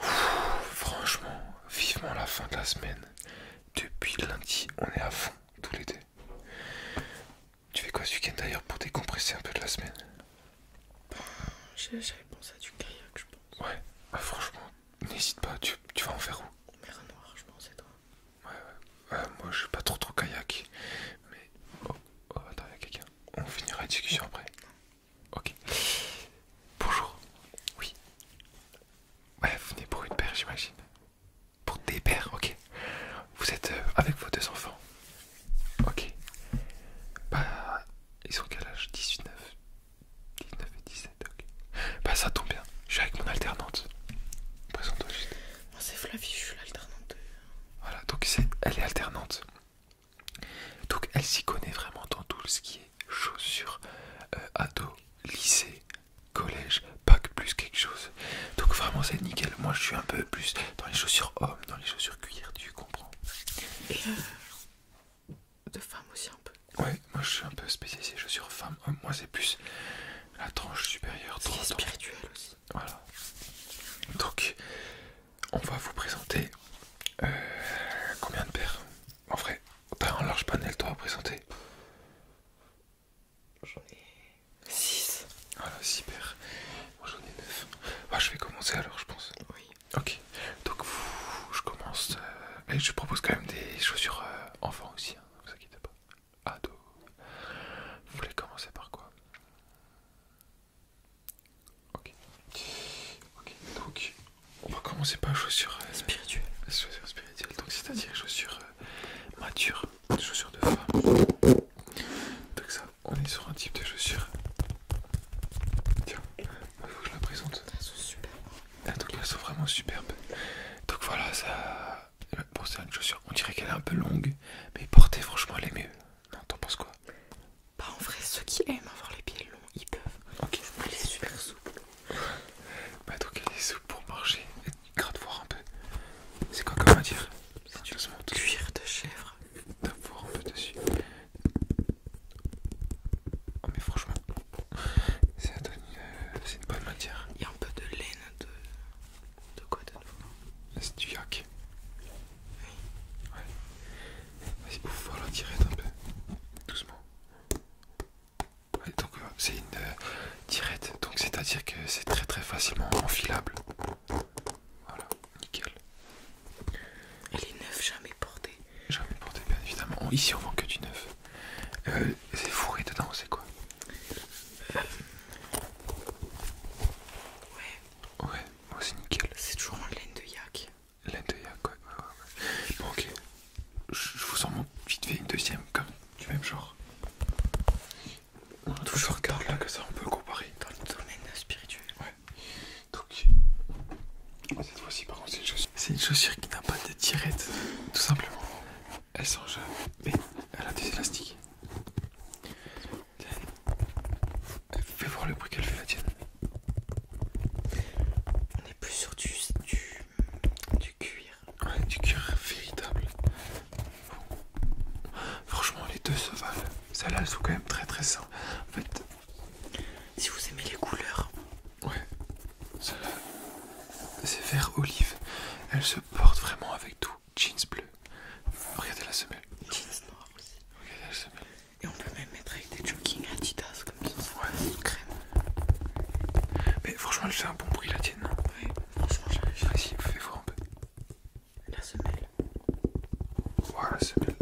franchement, vivement la fin de la semaine. Depuis lundi, on est à fond tous les deux. Tu fais quoi ce week-end d'ailleurs pour décompresser un peu de la semaine J'avais pensé à du kayak, je pense. Ouais, ah, franchement, n'hésite pas, tu, vas en faire où Mer Noire, je pense, et toi Ouais, ouais, euh, moi je suis pas trop trop kayak. Mais. Oh, oh attends, il quelqu'un. On finira la discussion après. Ok. Bonjour. Oui. Ouais, vous venez pour une paire, j'imagine. Pour des pères, ok. Vous êtes euh, avec vos deux enfants. Ok. Bah, ils ont quel âge 19. 19 et 17, ok. Bah, ça tombe bien. Je suis avec mon alternante. Présente-toi juste. Moi, c'est Flavie, je suis l'alternante. Voilà, donc elle est alternante. Donc elle s'y connaît vraiment dans tout ce qui est chaussures, ados, euh, ado, lycée, collège, bac plus quelque chose. Donc vraiment c'est nickel. Moi je suis un peu plus dans les chaussures hommes, dans les chaussures cuillères, tu comprends. Et euh, de femme aussi un peu. Ouais, moi je suis un peu spécialisé chaussures femme hommes, Moi c'est plus la tranche supérieure. C'est spirituel aussi. Voilà. Donc on va vous présenter euh, combien de paires En vrai, t'as un large panel toi à présenter. J'en ai 6. Voilà, 6 paires. Moi j'en ai 9. Ah, je vais commencer alors, je pense. Oui. Ok. Donc, je commence. Euh, et je propose quand même des chaussures euh, enfants aussi, ne hein, vous inquiétez pas. Ado. Vous voulez commencer par quoi Ok. Ok, donc on va commencer par chaussures euh, chaussure spirituelles. donc c'est-à-dire chaussure mature, euh, matures, chaussures de femme. Donc ça, on est sur un type de chaussure. Tiens, il faut que je la présente. Elles sont superbes. Ah, donc elles sont vraiment superbe. Donc voilà, ça. pour euh, c'est une chaussure, on dirait qu'elle est un peu longue, mais portée, franchement, elle est mieux. Non, t'en penses quoi bah en vrai ceux qui aiment avoir les pieds longs ils peuvent. Ok. Elle est super souple. Bah donc elle est souple pour marcher gras de voir un peu. C'est quoi comme matière C'est du cuir de chèvre. D'avoir un peu dessus. Oh mais franchement, euh, c'est une bonne matière. Il y a un peu de laine de, de quoi de nouveau C'est du yak. Oui. Vas-y, la tirette un peu. Doucement. donc euh, c'est une euh, tirette, donc c'est-à-dire que c'est très très facilement enfilable. Voilà, nickel. Elle est neuve, jamais portée. Jamais portée, bien évidemment. ici on vend que du neuf. Euh, c'est fourré dedans, c'est quoi Ouais. Ouais, c'est nickel. C'est toujours en laine de yak. Laine quoi. Ouais, Bon, ok. Je vous en montre vite fait une deuxième, comme du même genre. toujours regarde là que ça, on peut comparer. Dans le domaine spirituel. Ouais. Donc, cette fois-ci, par contre, c'est une chaussure. C'est une chaussure qui n'a pas de tirette, tout simplement. Elle s'enchaîne mais elle a des élastiques. Fais voir le bruit qu'elle fait la tienne. On est plus sur du, du, cuir. Ouais, du cuir véritable. Franchement, les deux se valent. Celles-là, elles sont quand même très très simples. En fait, si vous aimez les couleurs, ouais, celle-là, c'est vert olive. Elle se porte vraiment avec tout. Jeans bleu. Regardez la semelle. Jeans noir aussi. Regardez la semelle. Et on peut même mettre avec des jogging Adidas comme ça. Ouais, crème. Mais franchement, elle fait un bon bruit la tienne. Oui. franchement, j'ai vas voir un peu. La semelle. Voilà, la semelle.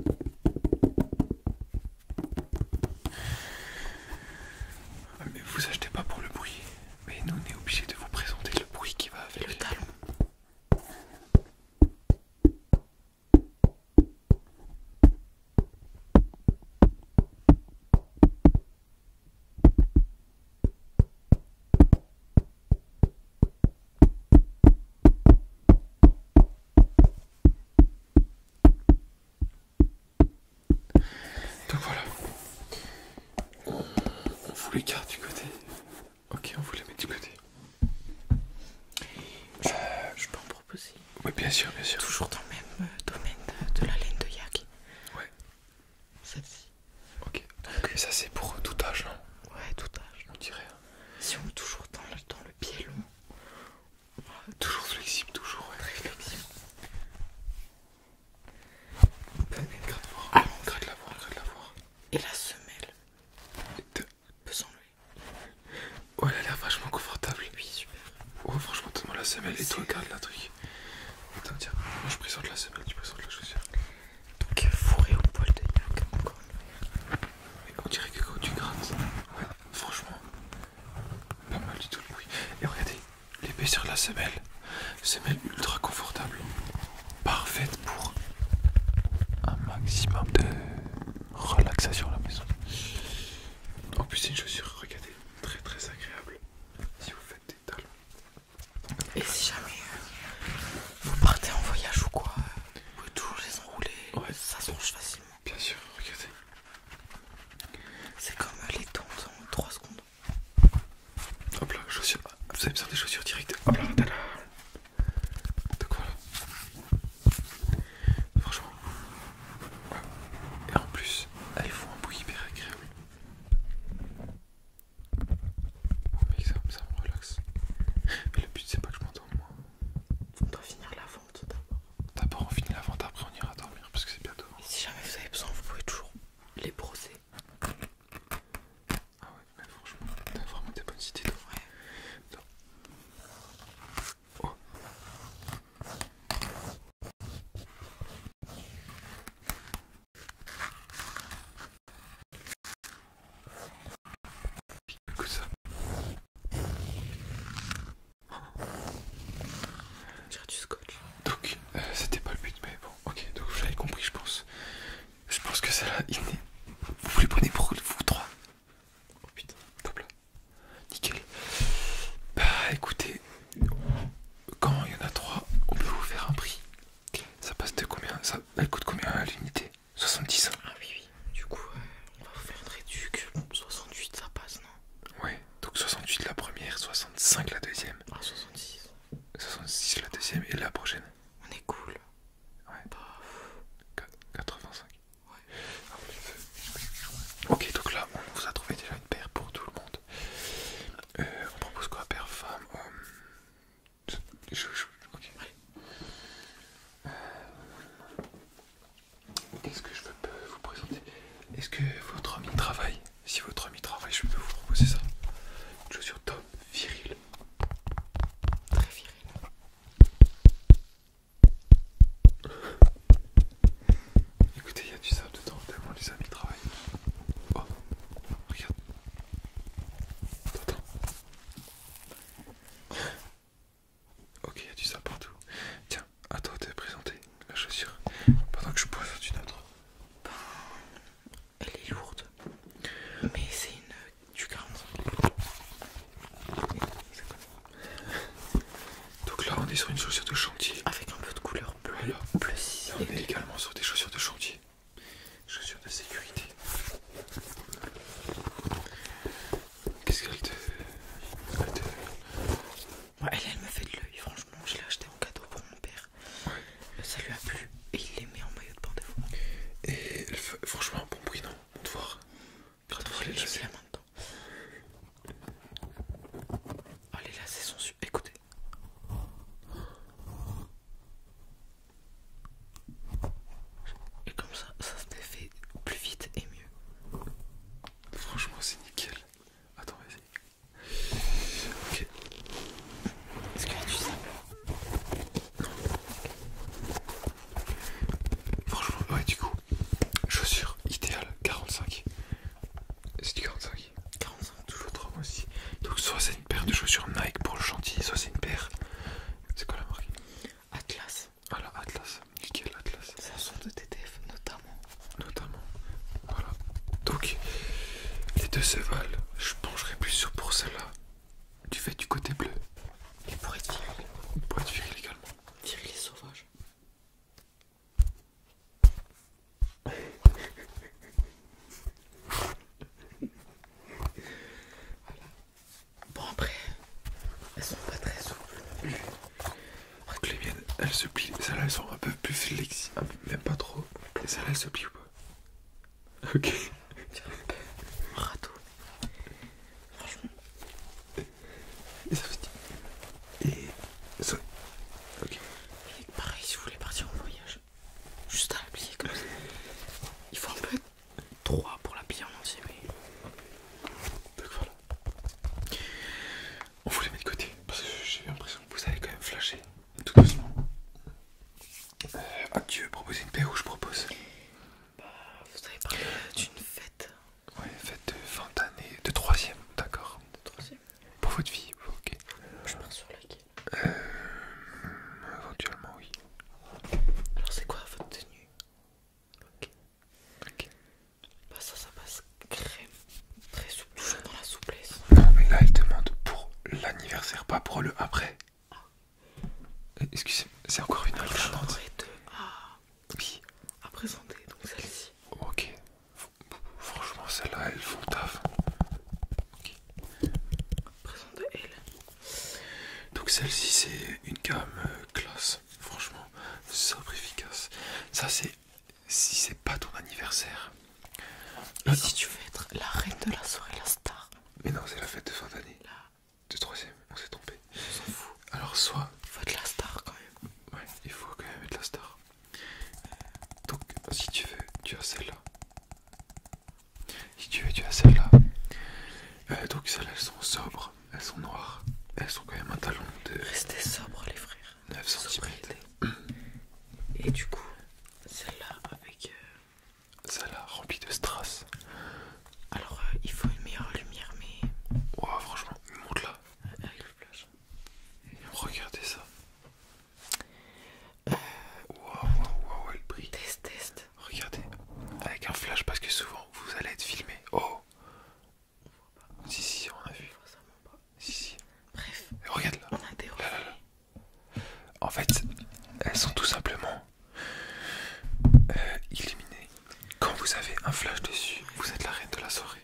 mais vous achetez pas pour le bruit. Mais nous, on est obligé de vous présenter le bruit qui va avec. le talon. Donc voilà. On vous les garde du côté. Ok, on vous les met du côté. Euh, je, peux oui, bien sûr, bien sûr. Toujours dans le même euh, domaine euh, de la laine de yak. Ouais. Celle-ci. Ok. Donc, ça, c'est pour euh, tout âge, non hein. Ouais, tout âge. On dirait. Hein. Si on est toujours dans le, pied long. toujours flexible, toujours. Très flexible. voir, la la Et la semelle pesons lui Oh, elle a l'air vachement confortable. Oui, super. Oh, franchement, le monde la semelle et toi, regarde la truc. Attends, tiens, moi je présente la semelle, tu présentes la chaussure. Donc, euh, fourré au poil de yak, encore. on dirait que quand tu grattes, franchement, pas mal du tout le bruit. Et regardez, l'épaisseur de la semelle, semelle ultra confortable, parfaite pour un maximum de relaxation à la maison. En plus, c'est une chaussure, regardez, très très agréable si vous faites des talons. Et si jamais euh, vous partez en voyage ou quoi, vous pouvez toujours les enrouler, ça se facilement. Bien sûr, regardez. C'est comme euh, les tentes en 3 secondes. Hop là, chaussures. Vous avez besoin des chaussures directes. Hop là, tada. quoi là Franchement. Et en plus, elles font un bruit hyper agréable. Mais ça, me relaxe. Mais le but c'est pas que je m'entende moi. On doit finir la vente d'abord. D'abord on finit la vente, après on ira dormir parce que c'est bientôt. si jamais vous avez besoin, vous pouvez toujours les brosser. Ah ouais, mais franchement, t'as vraiment des bonnes idées. Ouais. Oh. du scotch. Donc, euh, c'était pas le but, mais bon, ok, donc vous l'avez compris, je pense. Je pense que ça là, il est. Vous plus prenez pour vous trois. Oh putain, là Nickel. Bah écoutez, quand il y en a 3 on peut vous faire un prix. Ça passe de combien Elle coûte combien à l'unité 70 Ah oui, oui. Du coup, euh, on va vous faire une réduc. 68, ça passe, non Ouais, donc 68 la première, 65 la deuxième. Ah, 66. 66 la deuxième et la prochaine. On est cool. Ouais. 85. Ok, donc là, on vous a trouvé déjà une paire pour tout le monde. Euh, on propose quoi Paire femme, homme euh, ce que je peux vous présenter Est-ce que votre ami travaille Si votre ami travaille, je peux vous proposer ça. Une chaussure top, viril. Très viril. Écoutez, il y a du sable dedans, tellement les amis travaillent. Oh, regarde. Attends. Ok, il y a du sable partout. Tiens, attends, toi de présenter la chaussure pendant que je pose une autre. Ben, elle est lourde, mais c'est une du 45. Donc là, on est sur une chaussure de chantier. Avec un peu de couleur bleue. Bleu, on est également sur des chaussures de chantier. Chaussures de sécurité. Qu'est-ce qu'elle te... Elle, elle, me fait de l'œil, franchement. Je l'ai acheté en cadeau pour mon père. Ça lui a plu et il les met en maillot de bain Et elle fait... franchement, un bon bruit, non te voir Attends, les là lacets. oh, les Écoutez. Et comme ça, ça se fait plus vite et mieux. Franchement, c'est nickel. Attends, vas-y. Ok. Est-ce Franchement, ouais, du coup, chaussures. Idéal, 45. C'est du 45 45 toujours trop mois aussi. Donc soit c'est une paire de chaussures Nike pour le chantier, soit c'est une paire. C'est quoi la marque Atlas. Voilà, ah, Atlas. Nickel, Atlas. Ça sont de TTF notamment. Notamment. Voilà. Donc les deux se valent. Je pencherai plus sur pour celle-là. Tu fais du côté bleu. Et pour être viril. Pour être viril également. Viril et sauvage. Bon après, elles sont pas très souples. les miennes, elles se plient. Celles-là, elles sont un peu plus flexibles, même pas trop. Et celles-là, elles se plient ou pas Ok. tiens, un peu Franchement. Et ça vous dit. Et. Ça... Ok. Et pareil, si vous voulez partir en voyage, juste à plier comme ça. Il faut un peu 3 pour plier en entier, mais. Donc voilà. On vous les met de côté parce que j'ai l'impression que vous avez quand même flashé. Tout doucement. Euh, tu veux proposer une paix ou je propose Bah, vous avez parlé d'une fête Ouais, fête de fin d'année, de troisième, d'accord. De Pour votre vie, ok. Je pense sur laquelle Euh. Éventuellement, oui. Alors, c'est quoi votre tenue Ok. Ok. Bah, ça, ça passe crème. Très souple, dans la souplesse. Non, mais là, elle demande pour l'anniversaire, pas pour le après. Ah. Euh, excusez-moi, c'est encore une autre De... Ah. Oui. À présenter, donc celle-ci. Ok. franchement, celle-là, elle font taf. Ok. elle. Donc celle-ci, c'est une gamme euh, classe. Franchement, super efficace. Ça, c'est si c'est pas ton anniversaire. Et si tu veux être la reine de la soirée, la star. Mais non, c'est la fête de fin d'année. La... De troisième, on s'est trompé. Alors, soit. Il faut être la star quand même. Ouais, il faut quand même être la star. Donc, si tu veux, tu as celle-là. Si tu veux, tu as celle-là. Euh, donc, celles-là, elles sont sobres, elles sont noires. Elles sont quand même un talon de. Restez sobres, les frères. 9 cm. Et du coup, celle-là avec. Euh, celle-là remplie de strass. Alors, euh, il faut une meilleure lumière, mais. Waouh, franchement, monte là le flash Regardez ça. Euh, waouh, waouh, waouh, elle brille. Test, test. Regardez, avec un flash parce que souvent vous allez être filmé. Oh Si, si, on a vu. Si, si. Bref, regarde là. En fait, elles sont tout simplement éliminées euh, illuminées quand vous avez un flash dessus, vous êtes la reine de la soirée.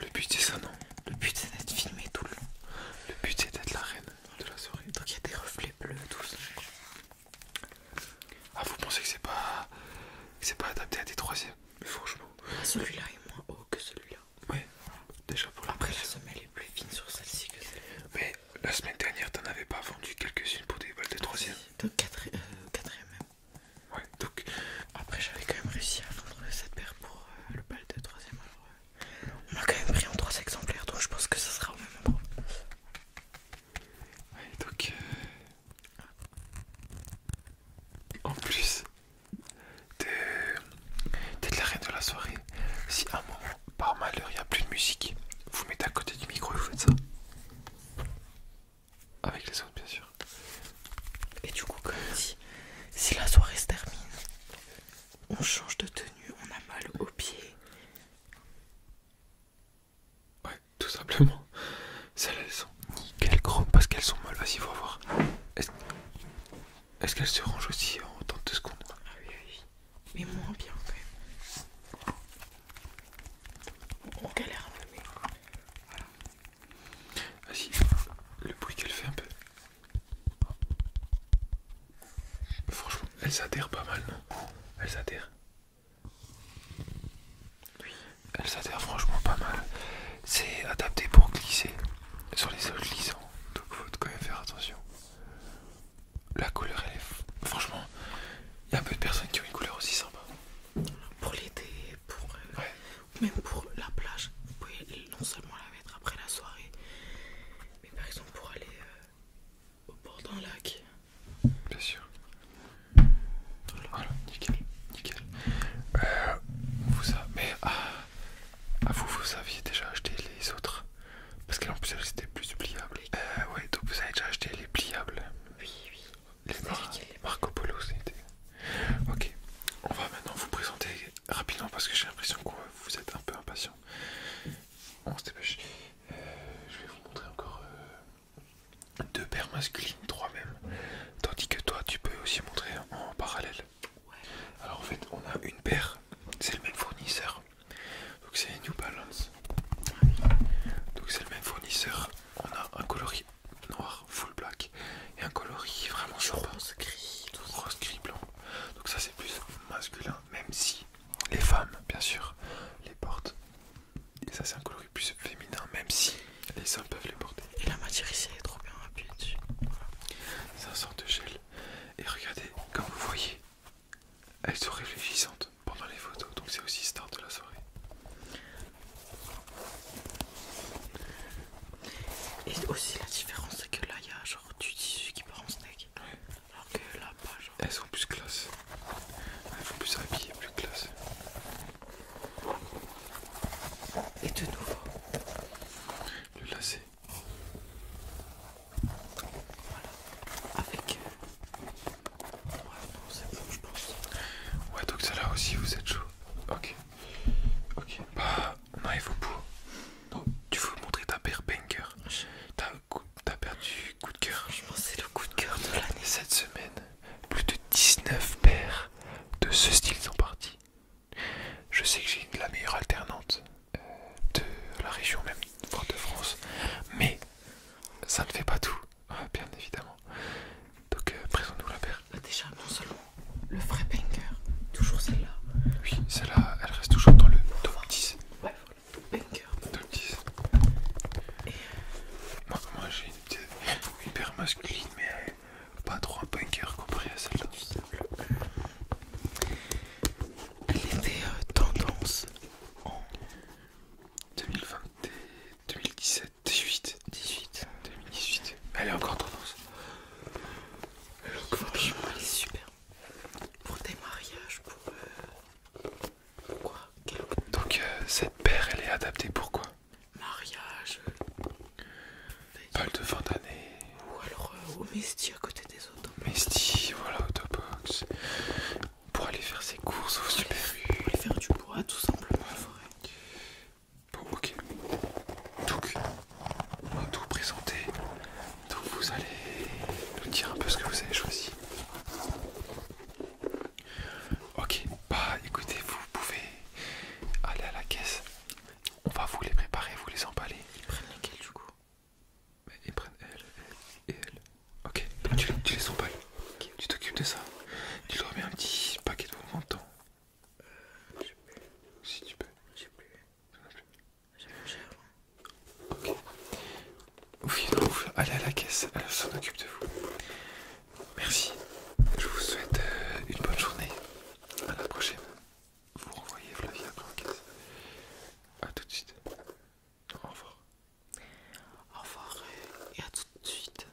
Le but c'est ça, non Le but c'est d'être filmé tout le long. Le but c'est d'être la reine de la soirée. Donc il y a des reflets bleus, tout ça. Ah, vous pensez que c'est pas. C'est pas adapté à des troisièmes Franchement. Ah, celui-là est moins haut que celui-là. Ouais, déjà pour la Après, la semelle est plus fine sur celle-ci que celle-là. Mais la semaine dernière, t'en avais pas vendu quelques-unes pour des balles de ah, troisième. Donc, euh, quatrième. Ouais, donc après j'avais quand même réussi à vendre cette paire pour euh, le bal de 3ème. on a quand même pris en 3 exemplaires donc je pense que ça sera au même endroit. Ouais, donc euh, en plus t'es de la reine de la soirée. Si à un moment par malheur il n'y a plus de musique, vous mettez à côté du micro et vous faites ça. Avec les autres, bien sûr. Et du coup, comme si la soirée se termine, on change de tenue, on a mal aux pieds. Ouais, tout simplement. Celles-là, elles sont nickel grosses parce qu'elles sont molles. Vas-y, faut voir. Est-ce qu'elles se rangent aussi en autant de secondes Ah oui, oui. Mais moins bien, quand même. On galère un peu, mais voilà vas ah, le bruit qu'elle fait un peu. Franchement, elle s'adhère pas mal, non Elle s'adhère. Elle s'adhère franchement pas mal. C'est adapté pour glisser sur les sols glissants. Donc faut quand même faire attention. La couleur elle est... Franchement, il y a peu de personnes qui ont une couleur aussi sympa. Pour l'été, pour... Euh, même pour la plage, vous pouvez non seulement la mettre après la soirée, mais par exemple pour aller euh, au bord d'un lac. Bien sûr. Voilà, nickel, nickel. Euh, vous Mais ah, ah, vous, vous aviez déjà acheté les autres parce qu'en plus elles étaient plus pliables. Euh, ouais, donc vous avez déjà acheté les pliables. Oui, oui. Les ah, Marco Polo, c'était. Ok, on va maintenant vous présenter rapidement parce que j'ai l'impression que vous êtes un peu impatient. On se dépêche. Euh, je vais vous montrer encore euh, deux paires masculines, trois même. Tandis que toi, tu peux aussi montrer en parallèle. Alors en fait, on a une paire, c'est le même fournisseur. Donc c'est New Balance. Ah Donc c'est le même fournisseur. On a un coloris noir, full black, et un coloris vraiment sympa. Rose gris, gris blanc. Donc ça c'est plus masculin, même si les femmes, bien sûr, les portent. Et ça c'est un coloris plus féminin, même si les hommes peuvent les porter. Et la matière ici elle est trop bien appuyée dessus. C'est un sort de gel. Et regardez, comme vous voyez, elles sont réfléchissantes pendant les photos, donc c'est aussi start de la soirée. Et aussi la différence c'est que là il y a genre du tissu qui part en snake, Alors que là pas genre. Elles sont plus classe. Elles sont plus habillées, plus classe. Et de nouveau. Le lacet. Voilà. Avec. Euh, ouais, non, c'est bon, je pense. Ouais, donc ça là aussi, vous êtes chaud. Ok. Ok. Ah, non, il faut tu veux montrer ta paire banger. tu T'as perdu coup de cœur. Je pense c'est le coup de cœur de l'année. Cette semaine, plus de 19 paires de ce style sont parties. Je sais que j'ai la meilleure alternante euh, de la région, même de France, mais ça ne fait pas tout, ah, bien évidemment. Donc euh, présente-nous la paire. Bah, déjà, non seulement le vrai Bunker, toujours celle-là. Oui, celle-là, elle reste toujours dans le top 10. Ouais, le Le Top 10. Euh, moi, j'ai une petite hyper masculine, mais euh, pas trop un bunker comparé à celle-là. Elle était tendance en 2020, 2017, 18. 18. 2018. Elle est encore tendance. elle est super. Pour des mariages, pour. Euh, quoi Donc, euh, cette paire, elle est adaptée pour quoi Mariage. Paul euh, de fin d'année. Ou alors au Mesti à côté des autos. Mesti, voilà, Autobox. Pour aller faire ses courses au Super rue. Pour aller faire du bois, tout simplement, Bon, ok. Donc, on va tout présenter. Donc, vous allez nous dire un peu ce que vous avez choisi. Ok, bah écoutez, vous pouvez aller à la caisse. On va vous les préparer, vous les emballer. Ils prennent lesquels du coup bah, Ils prennent elle, elle et elle. Ok, bah, tu, tu les emballes. Tu t'occupes de ça. Tu leur mets un petit paquet de vos euh, je plus. Si tu peux. J'ai plus. J'ai cher, Ok. Ouf, allez ah, à la caisse, elle s'en occupe de vous. Merci. Je vous souhaite euh, une bonne journée. À la prochaine. Vous renvoyez Flavia après la caisse. A tout de suite. au revoir. Au revoir et à tout de suite.